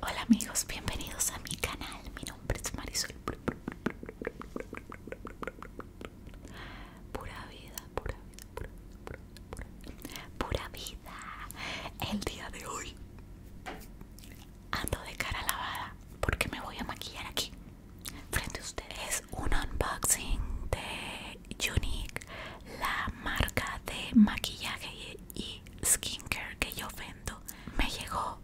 Hola amigos, bienvenidos a mi canal. Mi nombre es Marisol. Pura vida, pura vida, pura vida, pura vida. Pura vida. El día de hoy ando de cara lavada porque me voy a maquillar aquí. Frente a ustedes un unboxing de Unique, la marca de maquillaje y skincare que yo vendo. Me llegó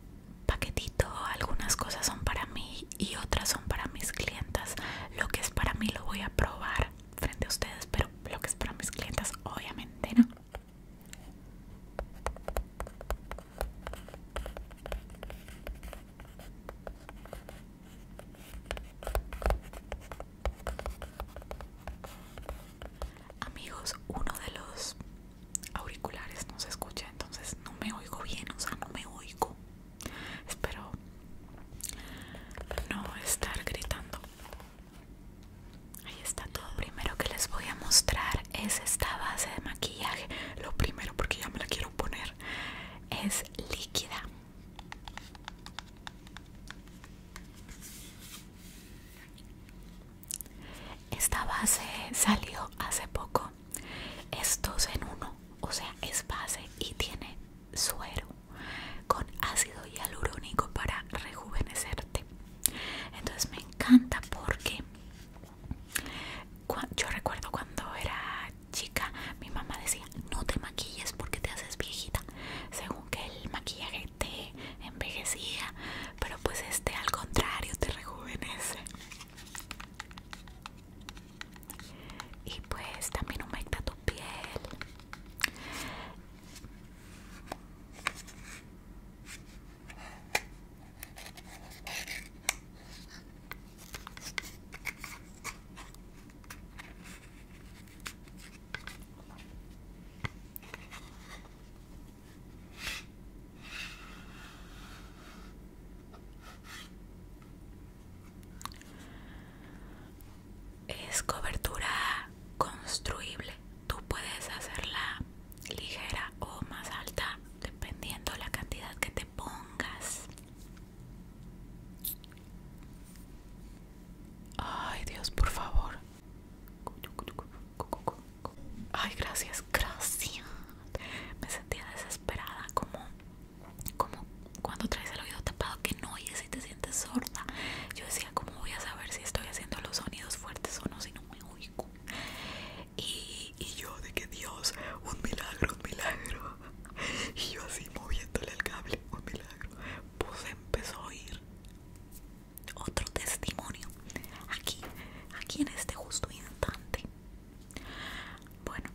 paquetito, algunas cosas son para mí y otras son para mis clientas. Lo que es para mí lo voy a probar frente a ustedes, pero lo que es para mis clientas obviamente no. Amigos, uno de los auriculares no se escucha, entonces no me oigo bien, o sea, no me oigo. Espero no estar gritando. Ahí está todo. primero que les voy a mostrar es esta base de maquillaje. Lo primero, porque ya me la quiero poner, es líquida. Esta base salió hace poco. Es 2 en uno, o sea, es base y tiene suero con ácido hialurónico para rejuvenecerte. Entonces me encanta porque yo recuerdo cuando era chica mi mamá decía no te maquilles porque te haces viejita según que el maquillaje te envejecía pero pues este al contrario te rejuvenece y pues también humecta tu piel es cobertura construible, tú puedes hacerla ligera o más alta dependiendo la cantidad que te pongas Ay, Dios, por favor. Ay, gracias, gracias. Me sentía desesperada, como, como cuando traes el oído tapado que no oyes y te sientes sorda. Yo decía, ¿cómo voy a saber si estoy haciendo los sonidos fuertes o no si no me oigo? Y, y yo de que Dios, un milagro, un milagro. y yo así moviéndole el cable, un oh, milagro. Pues empezó a oír otro testimonio aquí, aquí en este justo instante. Bueno.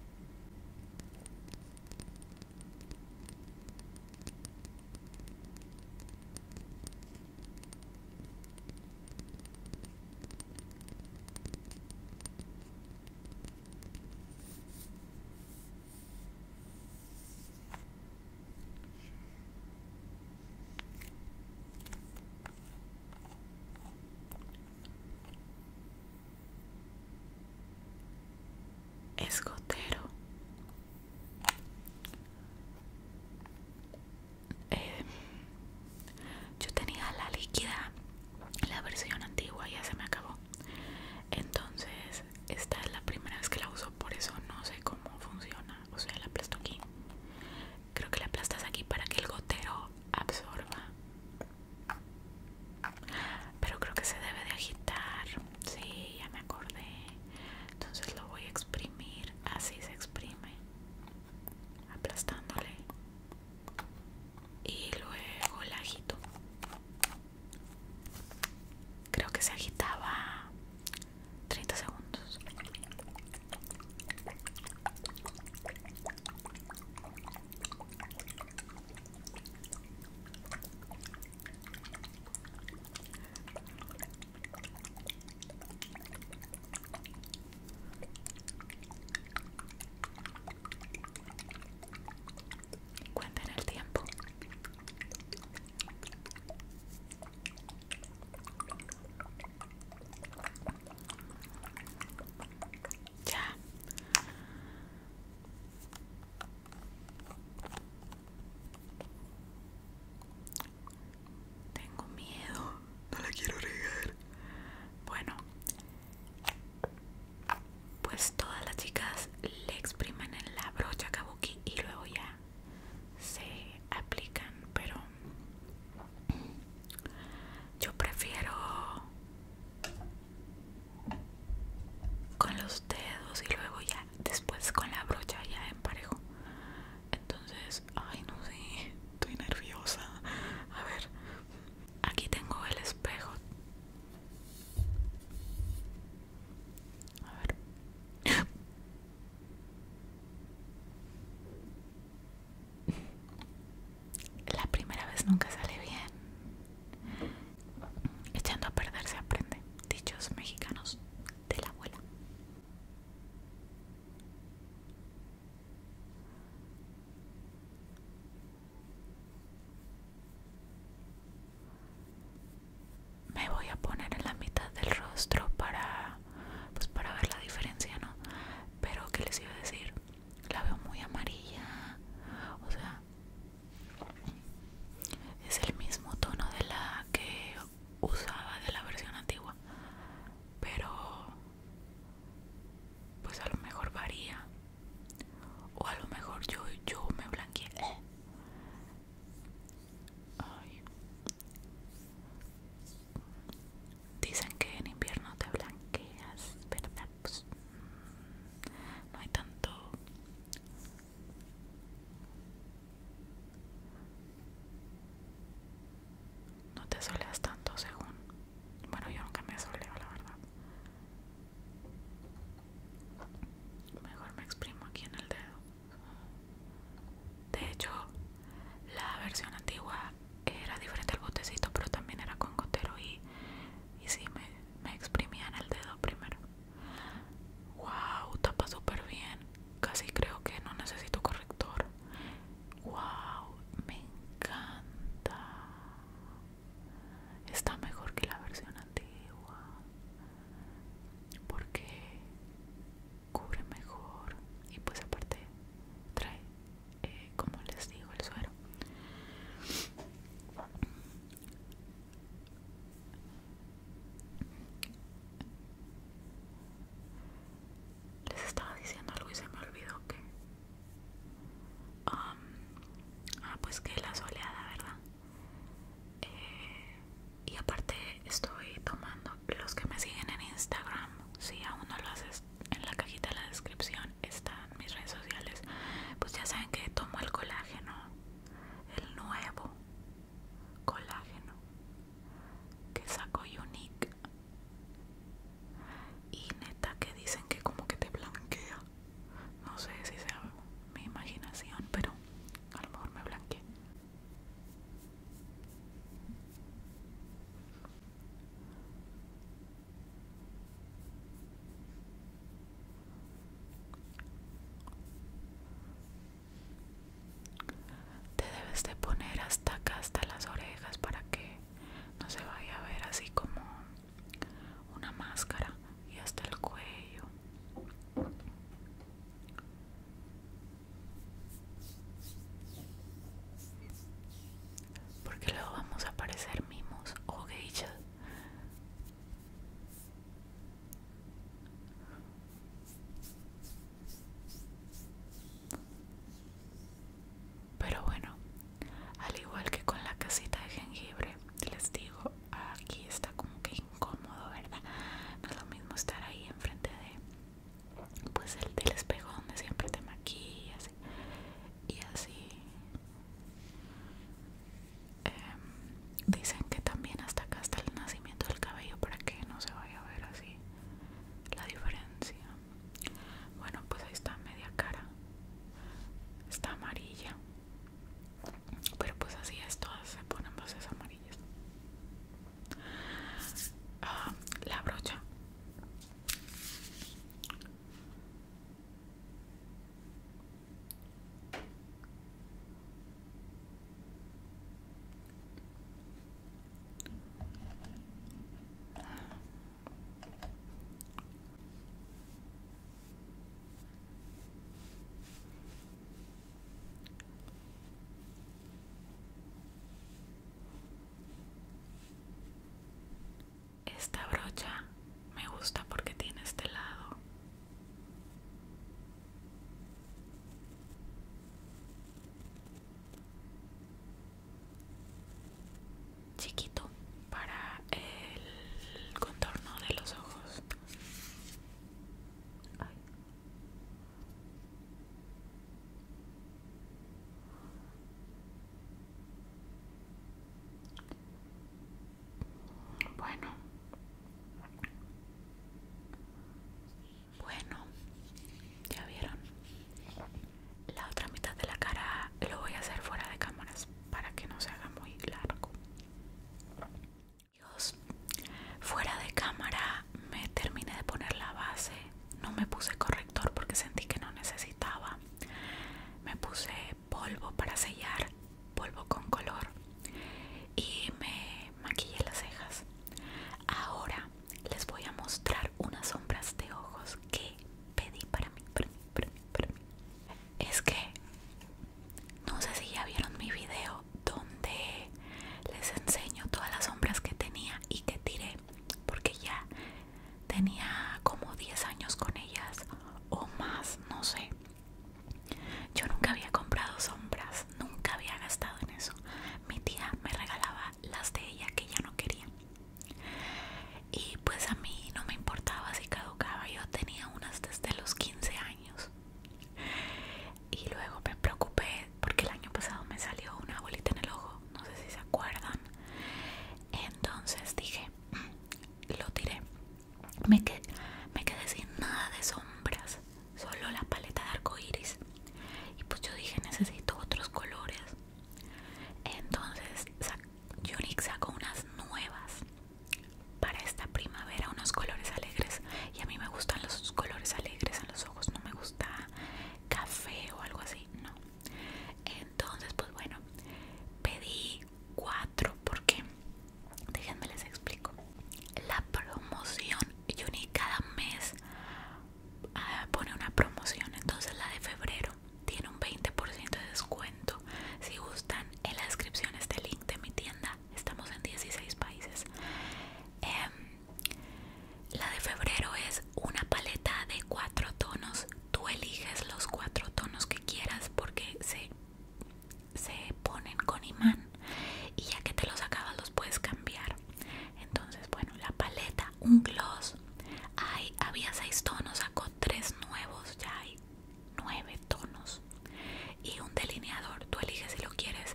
Escotero. Eh, yo tenía la líquida, la versión antigua, ya se me acabó entonces esta es la primera vez que la uso por eso no sé cómo funciona o sea la aplasto aquí creo que la aplastas aquí para que el gotero absorba pero creo que se debe de agitar sí ya me acordé entonces lo voy a exprimir así se exprime aplastándole y luego la agito. Creo que se agitaba 30 segundos. Cuenten el tiempo. Ya. Tengo miedo. No la quiero regar. Bueno, pues todas las chicas le exprimen en la brocha kabuki y luego ya se aplican pero yo prefiero con los dedos y luego ya después con la brocha ya emparejo entonces ay no sé estoy nerviosa a ver Aquí tengo el espejo. La primera vez nunca sale bien. Echando a perder se aprende. Dichos mexicanos de la abuela me voy a poner en la mitad del rostro para pues para ver la diferencia no pero que les iba a decir la veo muy amarilla o sea es el mismo tono de la que usaba de la versión antigua pero pues a lo mejor varía o a lo mejor yo, yo me blanqueé dicen que en invierno te blanqueas verdad pues mm, no hay tanto no te soleas tanto según bueno, yo nunca me asoleo, la verdad. Mejor me exprimo aquí en el dedo. De hecho, la versión antigua era diferente al botecito, pero también era con gotero y, si, sí, me, me exprimía en el dedo primero. ¡Wow! Tapa súper bien. Casi creo que no necesito corrector. ¡Wow! Me encanta está mejor que la versión antigua porque cubre mejor y pues aparte trae eh, como les digo el suero les estaba diciendo algo y se me olvidó que Um, ah, pues que la soleada, ¿verdad? Eh, y aparte estoy tomando los que me siguen en Instagram. Si aún no lo haces en la cajita de la descripción, están mis redes sociales. Pues ya saben que tomo el colágeno, el nuevo colágeno que sacó Unique y neta que dicen que como que te blanquea no sé si sea mi imaginación pero a lo mejor me blanqueé te debes de poner hasta acá hasta las orejas para que no se vaya a ver así como una máscara y hasta el cuello porque luego vamos a parecer mimos o geishas pero bueno al igual que con la casita de jengibre les digo aquí está como que incómodo verdad no es lo mismo estar ahí enfrente de pues el del espejo donde siempre te maquillas y así em, dicen que también hasta acá está el nacimiento del cabello para que no se vaya a ver así la diferencia bueno, pues ahí está media cara. Está amarilla. Pero pues así es, todas se ponen bases amarillas. Ah, la brocha. Esta brocha me gusta porque tiene este lado chiquito para el contorno de los ojos. Bueno, bueno, ya vieron. La otra mitad de la cara lo voy a hacer fuera de cámaras para que no se haga muy largo. fuera de cámara me terminé de poner la base. No me puse corrector porque sentí que no necesitaba. Me puse polvo para sellar, polvo con color y me maquillé las cejas. Ahora les voy a mostrar unas sombras de ojos que pedí para mí, Es que no sé si ya vieron mi video donde les enseño todas las sombras que tenía y que tiré, porque ya tenía como 10 años con ellas o más, no sé. Yo nunca había comprado sombras, nunca había gastado en eso. Mi tía me regalaba las de ella que ya no quería. Y pues a mí no me importaba si caducaba, yo tenía unas desde los 15 años. Y luego me preocupé porque el año pasado me salió una bolita en el ojo, no sé si se acuerdan. Entonces dije, lo tiré. Me quedé, sin nada de sombras, solo la paleta de arco iris. Y pues yo dije, necesito otros colores. Entonces Unique sacó unas nuevas para esta primavera, unos colores alegres. Y a mí me gustan los colores alegres en los ojos, no me gusta café o algo así, no. Entonces, pues bueno, pedí cuatro porque, déjenme les explico, la promoción Unique cada mes ah, pone una promoción. Entonces la de febrero tiene un 20% de descuento. Si gustan, en la descripción este link de mi tienda. Estamos en 16 países. Em, la de febrero es una paleta de cuatro tonos. Tú eliges los cuatro tonos que quieras porque se, se ponen con imán y ya que te los acabas los puedes cambiar entonces bueno la paleta un gloss había seis tonos sacó tres nuevos ya hay nueve tonos y un delineador tú eliges si lo quieres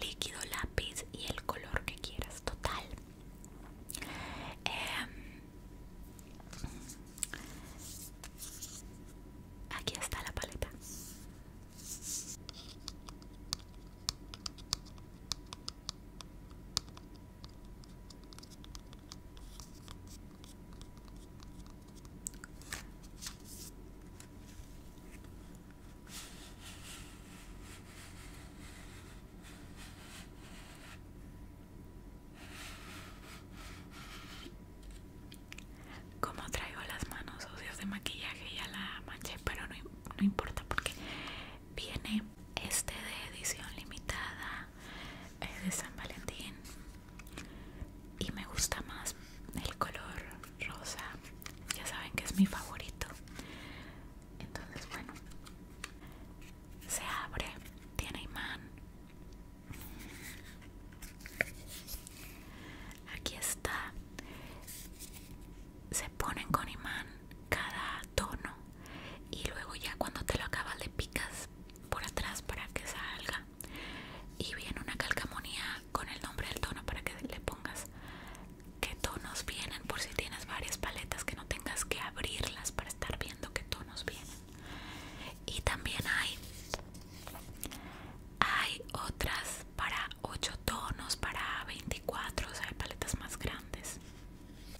líquido lápiz y el color que quieras total em, aquí está la paleta como traigo las manos sucias de maquillaje ya la manché, pero no, no importa porque viene este de edición limitada es eh, de San Valentín y me gusta más el color rosa. Ya saben que es mi favorito. Entonces, bueno, se abre, tiene imán. Aquí está. Se ponen con imán cada tono y luego ya cuando te lo acabas le picas por atrás para que salga y viene una calcamonía con el nombre del tono para que le pongas qué tonos vienen por si tienes varias paletas que no tengas que abrirlas para estar viendo qué tonos vienen y también hay hay otras para 8 tonos para 24 o sea hay paletas más grandes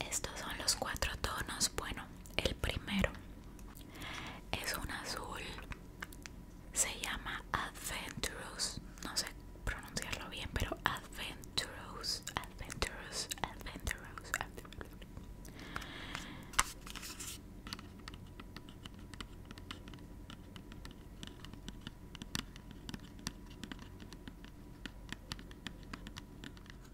Estos son los cuatro tonos. Bueno, el primero es un azul. Se llama Adventurous. No sé pronunciarlo bien, pero Adventurous. Adventurous. Adventurous. Adventurous.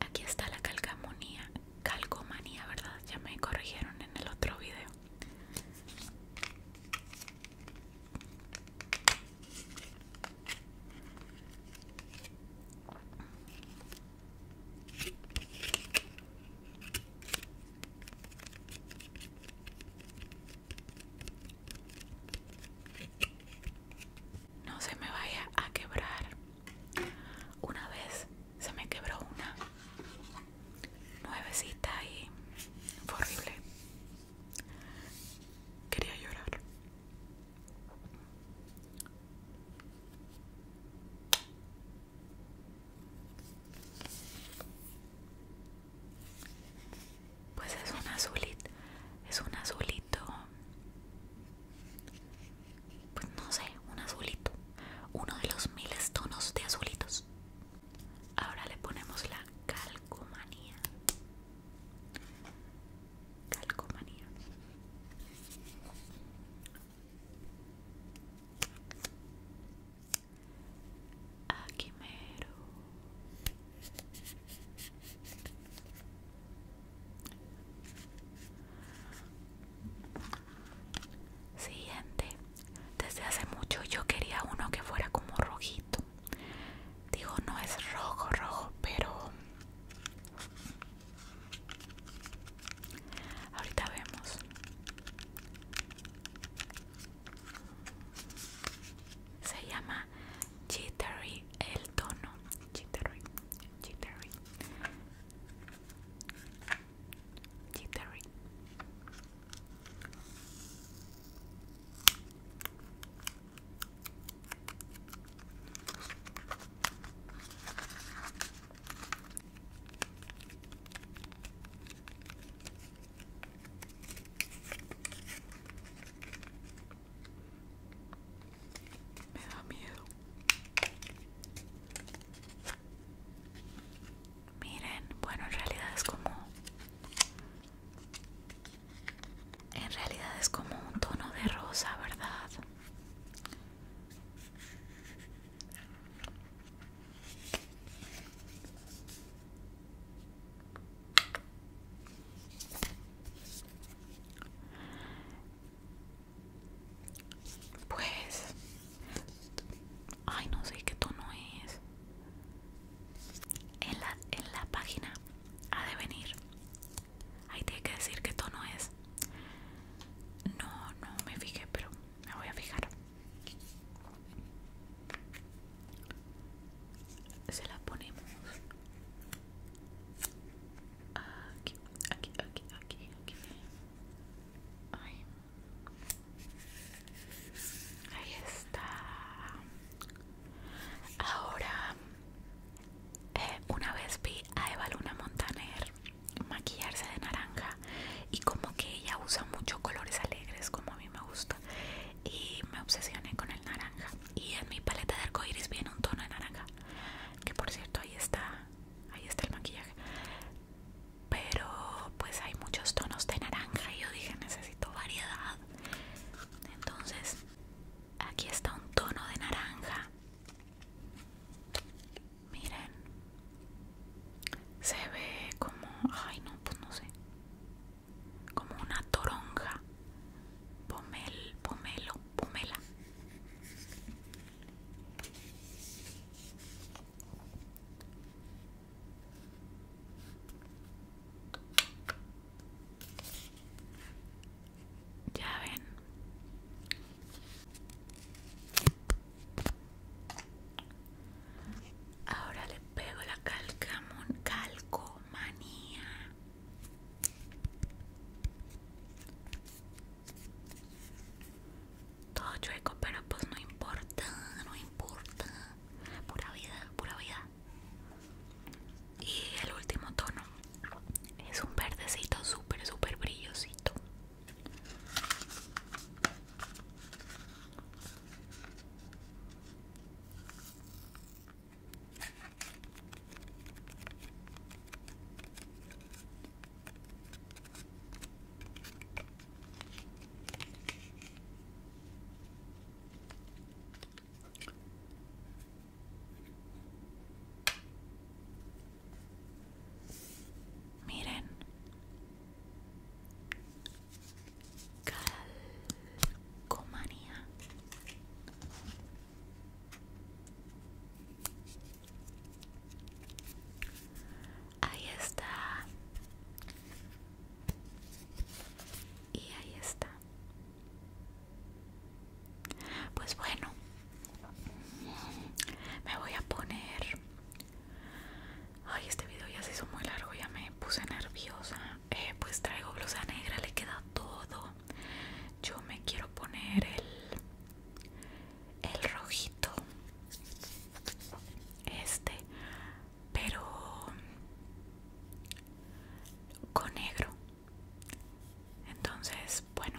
Aquí está la calcamonía, calcomanía, ¿verdad? Ya me corrigieron en el otro video. No se me vaya a quebrar. Una vez se me quebró una nuevecita y horrible. Quería llorar. Pues es un azulito, es un azulito pues no sé, un azulito, uno de los miles tonos de azulitos. Ahora le ponemos la calcomanía. Calcomanía. Aquí mero. Siguiente. Desde hace mucho yo quería uno que fuera como rojito. Digo, no es rojo, rojo, pero... Ahorita vemos. Se llama L no, tono Jittery Jittery Jittery me da miedo. Miren, bueno, en realidad es como... En realidad es como un tono de rosa, ¿verdad? Pues... Ay, no sé qué tono es. En la, página ha de venir. Ahí tiene que decir qué tono es. No, no me fijé, pero me voy a fijar. Se la ponemos Aquí, aquí, aquí, aquí, Ahí está. Ahora, eh, una vez vi a Eva Luna Montaner maquillarse de naranja y como que ella usa muchos colores alegres como a mí me gusta y me obsesioné con el naranja y en mi paleta de arcoiris viene un tono de naranja que por cierto ahí está ahí está el maquillaje pero pues hay muchos tonos de naranja y yo dije necesito variedad entonces aquí está un tono de naranja miren se ve como ay no pues no sé como una toronja pomelo pomelo Pumela Ya ven. Ahora le pego la mon calcomanía. Todo chueco, pero pues no importa, no importa. Pura vida, pura vida. Y el último tono es un verdecito súper, súper brillosito. Miren, calcomanía. Ahí está. Y ahí está. Pues bueno, me voy a poner... Ay, este video ya se hizo muy largo, ya me puse nerviosa. Eh, pues traigo blusa negra, le queda todo yo me quiero poner el el rojito este pero con negro entonces bueno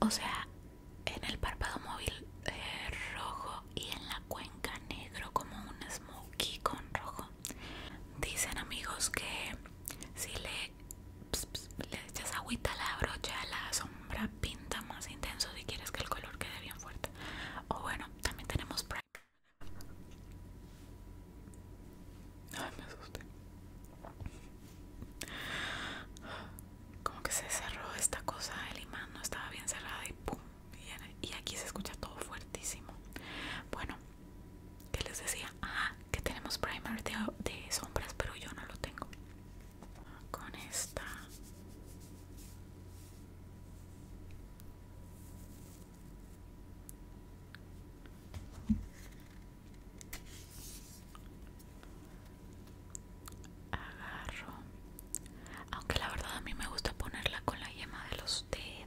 o sea en el párpado móvil eh, rojo y en la cuenca negro como un smokey con rojo Dicen amigos que si le, echas agüita a la brocha, la sombra pinta más intenso si quieres que el color quede bien fuerte. O bueno, también tenemos Ay, me asusté. Como que se cerró esta cosa, el imán no estaba bien cerrada y pum. Y aquí se escucha todo fuertísimo. Bueno, que les decía ah, que tenemos primer de, de sombras pero yo no lo tengo con esta agarro aunque la verdad a mí me gusta ponerla con la yema de los dedos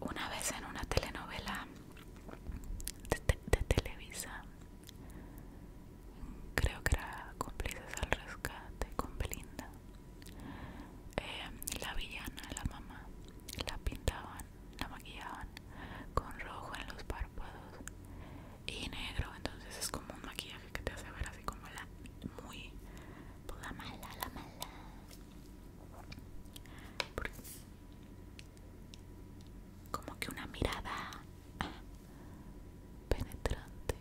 Una vez en una telenovela de, Televisa, creo que era Cómplices al Rescate con Belinda, eh, la villana, la mamá, la pintaban la maquillaban con rojo en los párpados y negro, entonces es como un maquillaje que te hace ver así como la muy pues, la mala, la mala. como que una mirada ah, penetrante.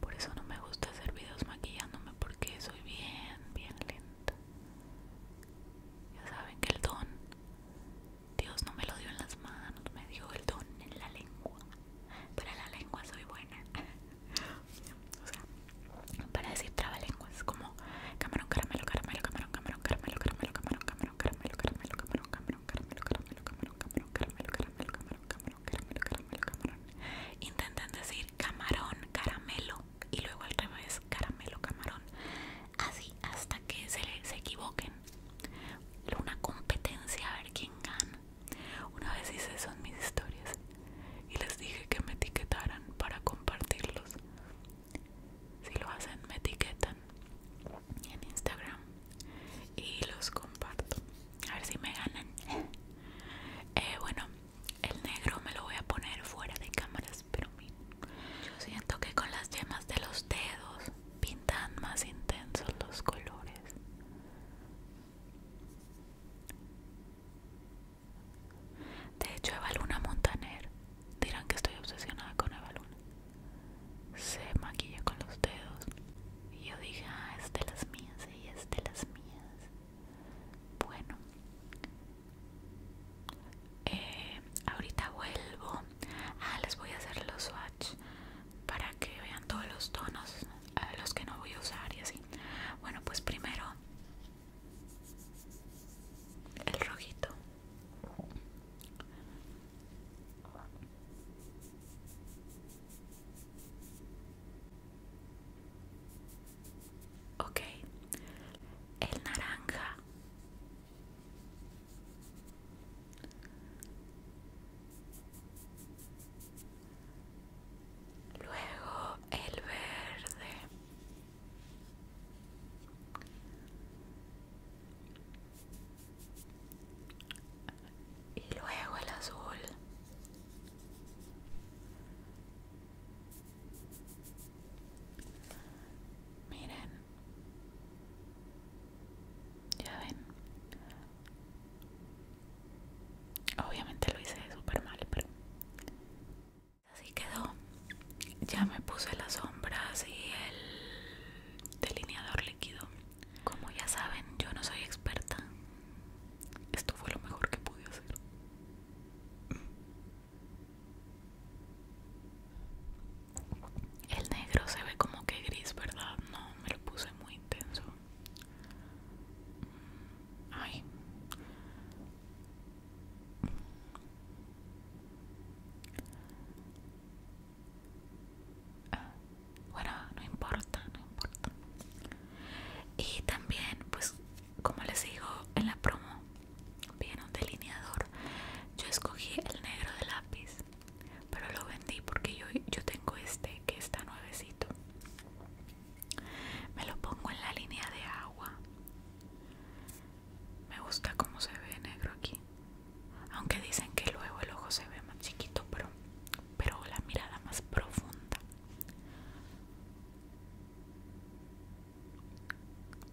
Por eso no me gusta hacer videos maquillándome porque soy bien, bien lenta. Ya saben que el don Dios no me lo dio en las manos, me dio el don en la lengua. Para la lengua soy buena. o sea, para decir trabalenguas, como camarón, caramelo, caramelo, camarón, camarón, caramelo, caramelo, camarón, camarón, caramelo, caramelo, camarón, camarón, caramelo, caramelo, camarón, camarón, caramelo, caramelo, camarón, camarón, caramelo, caramelo, camarón. Intentan decir camarón, caramelo y luego al revés, caramelo, camarón. Así hasta que se, se equivoquen una competencia a ver quién gana. Una vez hice son mis historias y les dije que me etiquetaran para compartirlos. Si lo hacen, me etiquetan en Instagram y los comparto. A ver si me ganan. Eh, bueno, el negro me lo voy a poner fuera de cámaras, pero Yo siento que con las yemas de los dedos pintan más intensos los colores. De hecho, Evaluna Montaner, dirán que estoy obsesionada con Evaluna se maquilla con los dedos. Y yo dije, ah, es de las mías, ella es de las mías. Bueno, eh, ahorita vuelvo. Ah, les voy a hacer los suaves para que vean todos los tonos los que no voy a usar y así bueno pues primero el rojito ok el naranja Luego el verde. Y luego el azul. Miren, ya ven. Obviamente lo hice super mal, pero así quedó. Ya me puse las sombras y el delineador líquido. Como ya saben, yo no soy experta. Esto fue lo mejor que pude hacer. El negro se ve como que gris, ¿verdad? No, me lo puse muy intenso. Ay. Ah, bueno, no importa, no importa. Y también, pues, como les digo en la promo, viene un delineador. Yo escogí el negro de lápiz pero lo vendí porque yo, tengo este que está nuevecito me lo pongo en la línea de agua me gusta cómo se ve negro aquí aunque dicen que luego el ojo se ve más chiquito pero, pero la mirada más profunda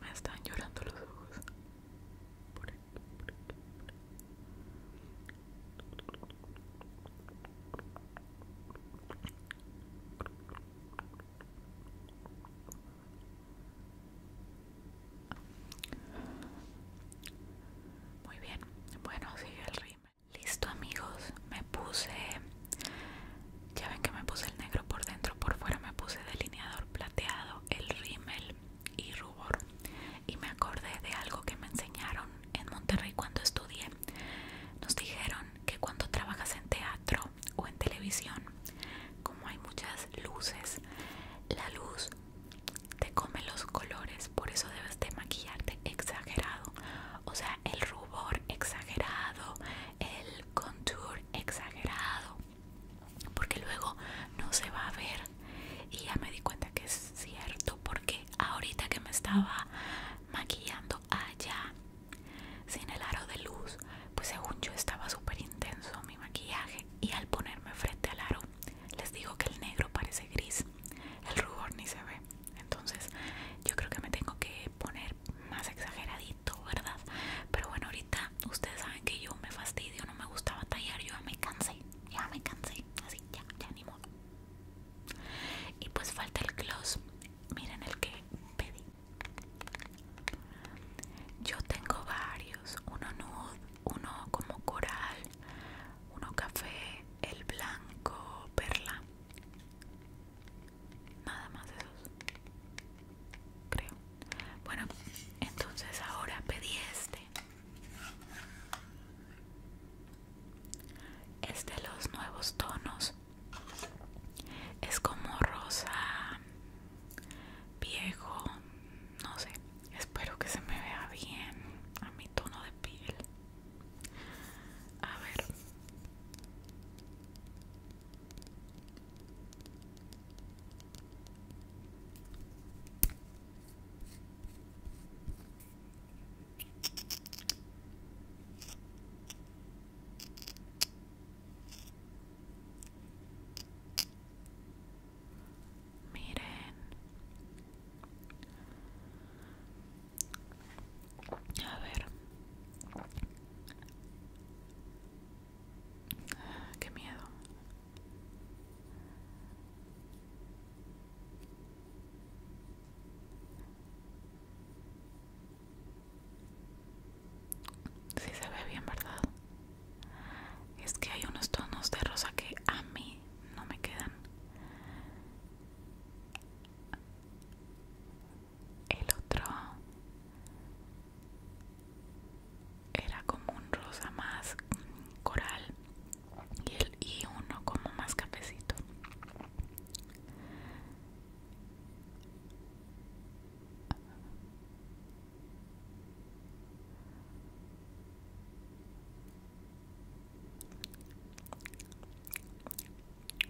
Me están llorando los ojos. Muy bien, bueno, sigue el ritmo. Listo amigos, me puse ya ven que me puse el negro por dentro, por fuera me puse delineador plateado, el rímel y rubor. Y me acordé de algo que me enseñaron en Monterrey cuando estudié. Nos dijeron que cuando trabajas en teatro o en televisión, como hay muchas luces, la luz te come los colores, por eso debes de maquillarte exagerado. O sea, el rubor exagerado, el contour exagerado porque luego no se va a ver y ya me di cuenta que es cierto porque ahorita que me estaba maquillando allá sin el aro de luz pues según yo estaba súper intenso mi maquillaje y al ponerme frente al aro les digo que el negro parece gris el rubor ni se ve entonces yo creo que me tengo que poner más exageradito ¿verdad? Pero bueno, ahorita ustedes saben que yo me fastidio, no me gusta batallar, yo ya me cansé, ya me cansé, así, ya, ya ni modo. Y pues falta el gloss, miren el que pedí. Yo tengo varios, uno nude, uno como coral, uno café, el blanco, perla nada más esos creo bueno entonces ahora pedí este es de los nuevos tonos es como rosa viejo no sé espero que se me vea bien a mi tono de piel a ver Miren, a ver. Ah, qué miedo. Sí se ve bien, ¿verdad? Es que hay unos tonos de rosa que a mí no me quedan el otro era como un rosa más coral y, el, y uno como más cafecito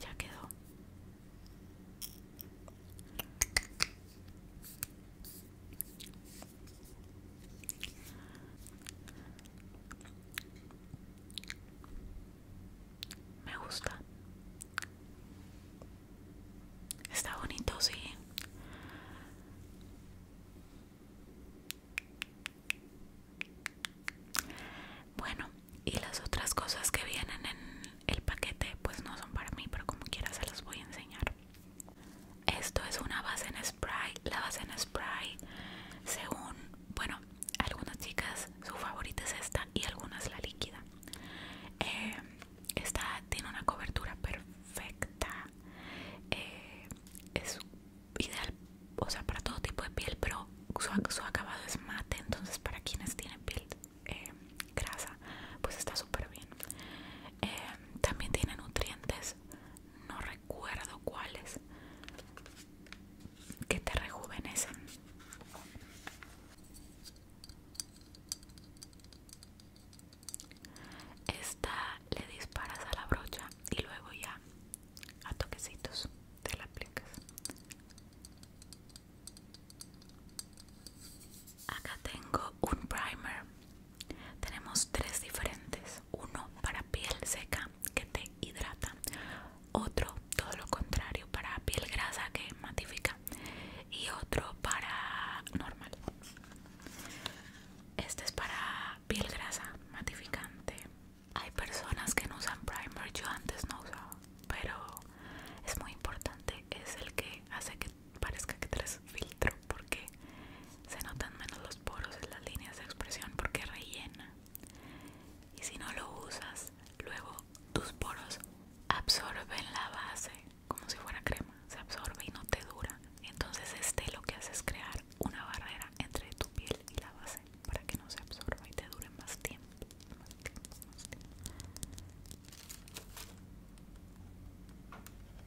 Ya quedó. Me gusta. Está bonito, sí. Bueno, y las otras cosas que vienen en el paquete pues no son para mí, pero como quiera se las voy a enseñar. Esto es una base en spray. La base en spray, según, bueno, algunas chicas su favorita es esta y algunas la líquida. Eh, esta tiene una cobertura perfecta. Eh, es ideal o sea, para todo tipo de piel, pero su, acabado es mate, entonces para quienes tienen piel eh, grasa, pues está súper bien. Em, también tiene nutrientes, no recuerdo cuáles, que te rejuvenecen. Esta le disparas a la brocha y luego ya a toquecitos te la aplicas acá tengo un primer tenemos tres diferentes uno para piel seca que te hidrata otro todo lo contrario para piel grasa que matifica y otro para normal este es para piel grasa matificante hay personas que no usan primer, yo antes no usaba, pero es muy importante, es el que hace que parezca que traes filtro porque se notan menos los poros en las líneas de expresión porque rellena. Y si no lo usas, luego tus poros absorben la base como si fuera crema, se absorbe y no te dura. Entonces este lo que hace es crear una barrera entre tu piel y la base para que no se absorba y te dure más tiempo,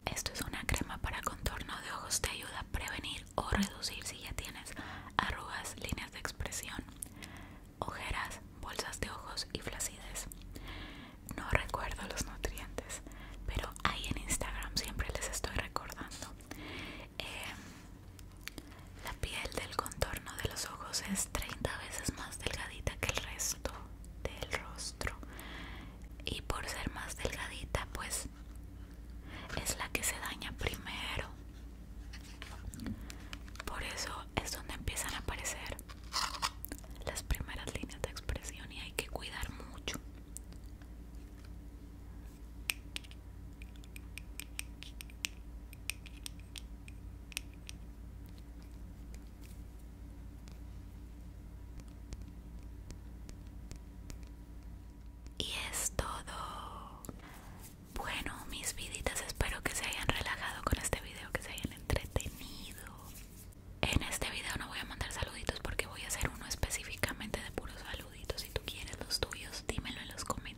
Esto es una crema para contorno de ojos, te ayuda a prevenir o reducir si ya tienes arrugas, líneas de expresión, ojeras, bolsas de ojos y flacidez. No recuerdo los nutrientes, pero ahí en Instagram siempre les estoy recordando eh, la piel del contorno de los ojos es 30 veces más delgadita que el resto del rostro y por ser más delgadita pues es la que se daña primero por eso es donde empiezan a aparecer las primeras líneas de expresión y hay que cuidar mucho y es todo. Bueno, mis viditas, espero que se hayan relajado con este video, que se hayan entretenido. En este video no voy a mandar saluditos porque voy a hacer uno específicamente de puros saluditos. Si tú quieres los tuyos, dímelo en los comentarios